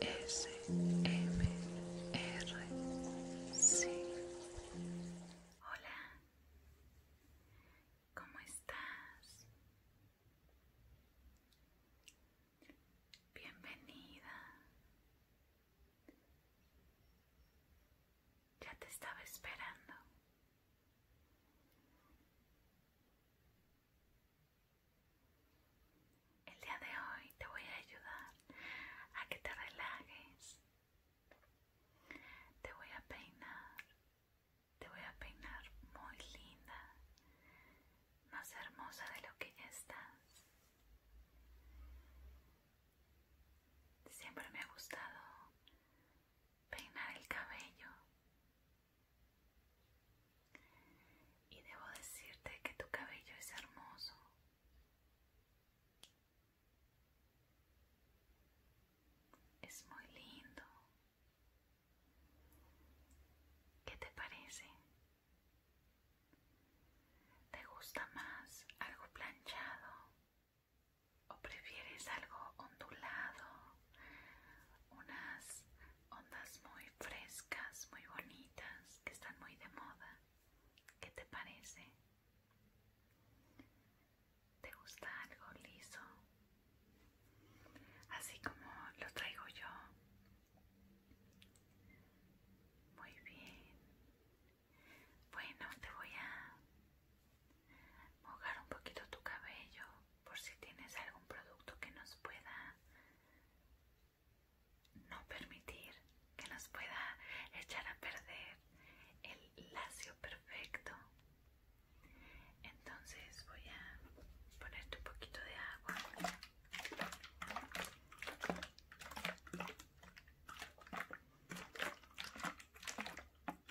R C Hola, ¿cómo estás? Bienvenida. Ya te estaba esperando. El día de hoy te voy a ayudar a que te relajes. Te voy a peinar. Te voy a peinar muy linda. Más hermosa de lo que ya estás. Siempre me ha gustado peinar el cabello y debo decirte que tu cabello es hermoso. Es muy lindo. ¿Qué te parece? ¿Te gusta más algo planchado o prefieres algo ondulado? unas ondas muy frescas, muy bonitas, que están muy de moda. ¿Qué te parece? ¿Te gusta algo liso? Así como lo traigo yo. Muy bien. Bueno, te voy a mojar un poquito tu cabello por si tienes algún producto que nos pueda no permitir que nos pueda echar a perder el lacio perfecto entonces voy a ponerte un poquito de agua Voy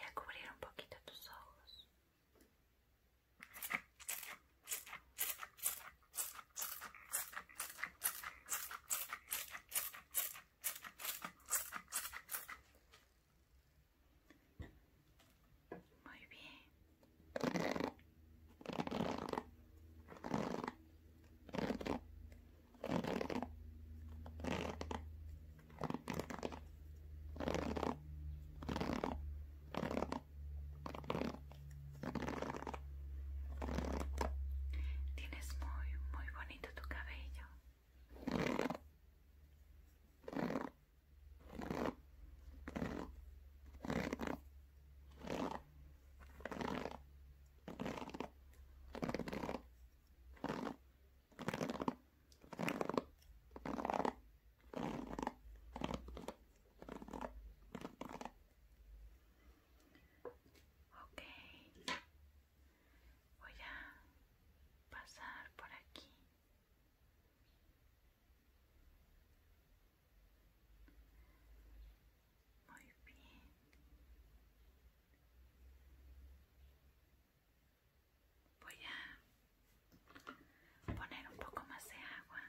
a cubrir un poquito tus ojos. Muy bien, Tienes muy, muy bonito tu cabello. Ok, voy a pasar por aquí. Muy bien. Voy a poner un poco más de agua.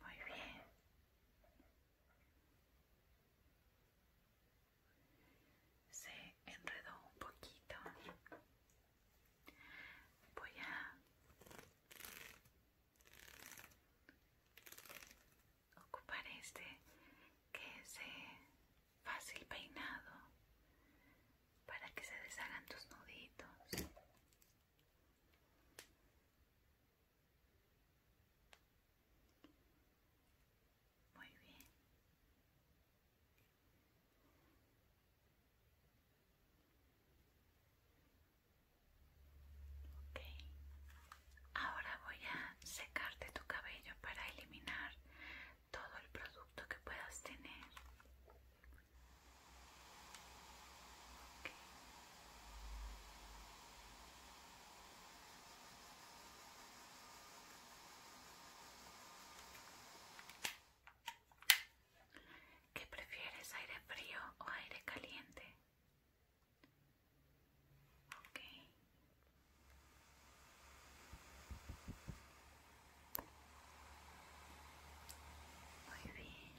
Muy bien se enredó un poquito voy a ocupar este que es fácil peinado para que se deshagan tus nuditos muy bien. Ahora voy a secarte tu cabello para eliminar todo el producto que puedas tener. ¿Qué prefieres, aire frío o aire caliente? Okay. Muy bien.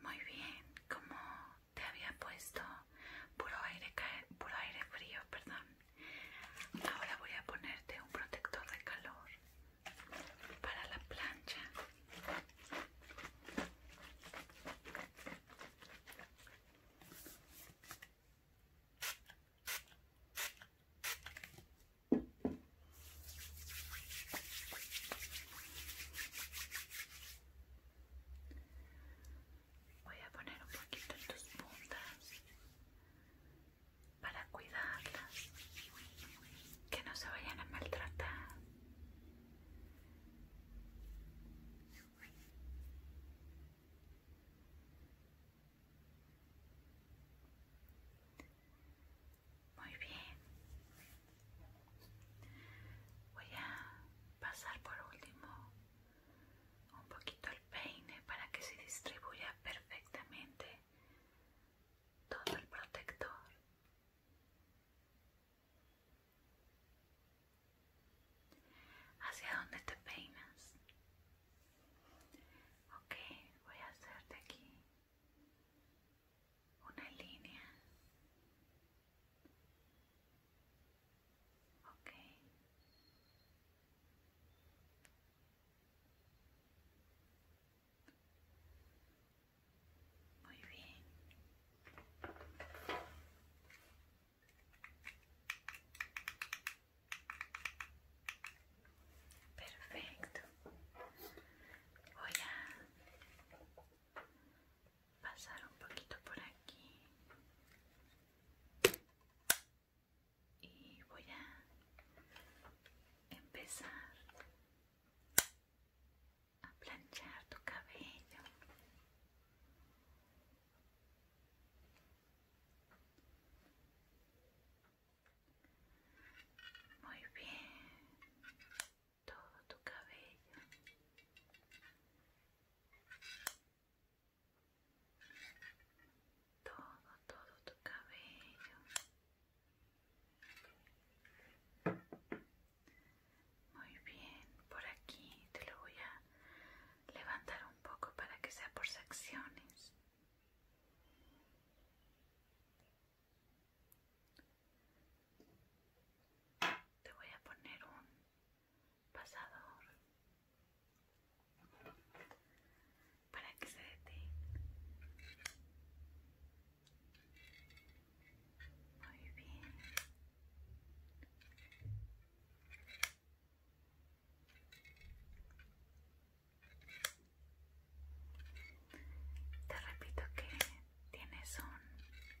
Muy bien, como te había puesto puro aire, aire frío, perdón. Ahora voy a ponerte un protector de calor para la plancha. Voy a poner un poquito en tus puntas para cuidarlas, que no se vayan a maltratar. Muy bien. Voy a pasar por último un poquito el peine para que se distribuya perfectamente todo el protector hacia dónde te peinas ok voy a hacerte aquí una línea ok muy bien Perfecto. Voy a pasar un poquito por aquí y voy a empezar a planchar tu cabello muy bien, todo tu cabello. Todo, todo tu cabello. Muy bien, por aquí te lo voy a levantar un poco para que sea por secciones. Te voy a poner un pasador para que se detenga. Muy bien. Te repito que tienes un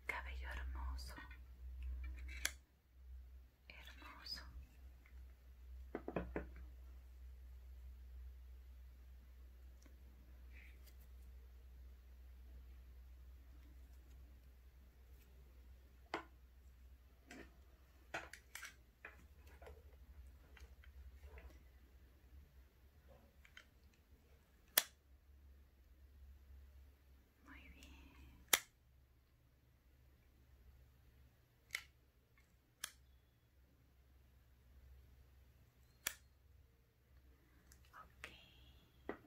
cabello hermoso, hermoso. Muy bien.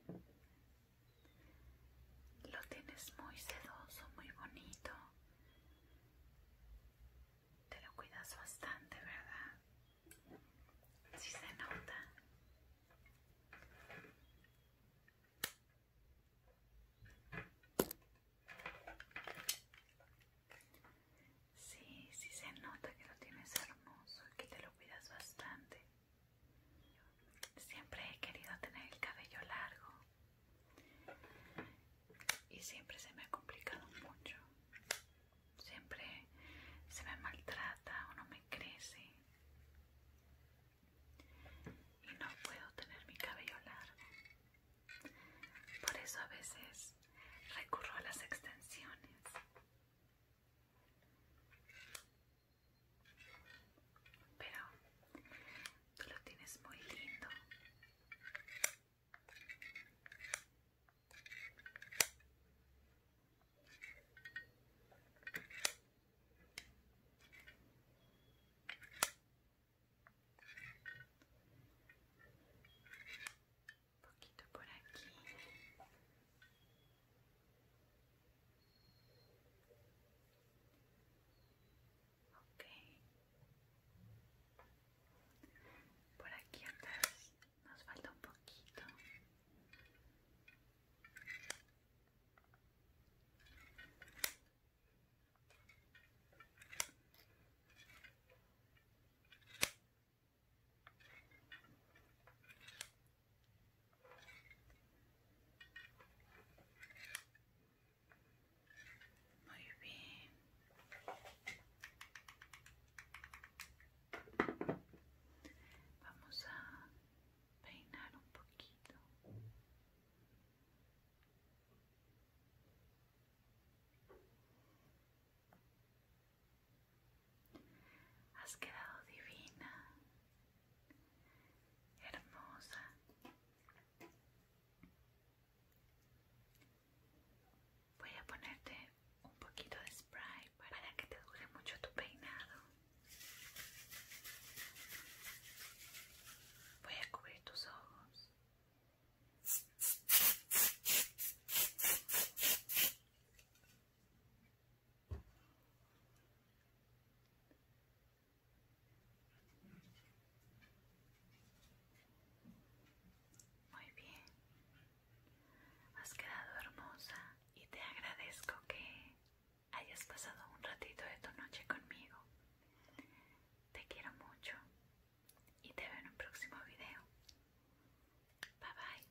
okay lo tienes muy sedoso, muy bonito. Te lo cuidas bastante, ¿verdad? Si se nota. Sí, sí se nota que lo tienes hermoso que te lo cuidas bastante. Siempre he querido tener el cabello largo y siempre se me ha complicado mucho. Siempre se me maltrata o no me crece. Y no puedo tener mi cabello largo. Por eso a veces recurro a las extensiones. Pero tú lo tienes muy lindo. Un poquito por aquí. Okay, Por aquí atrás nos falta un poquito. Muy bien. Vamos a peinar un poquito. Has quedado divina, hermosa. Voy a ponerte un poquito de spray para que te dure mucho tu peinado. Voy a cubrir tus ojos. Muy bien, has quedado hermosa y te agradezco que hayas pasado un ratito de tu noche conmigo. Te quiero mucho y te veo en un próximo video. Bye bye.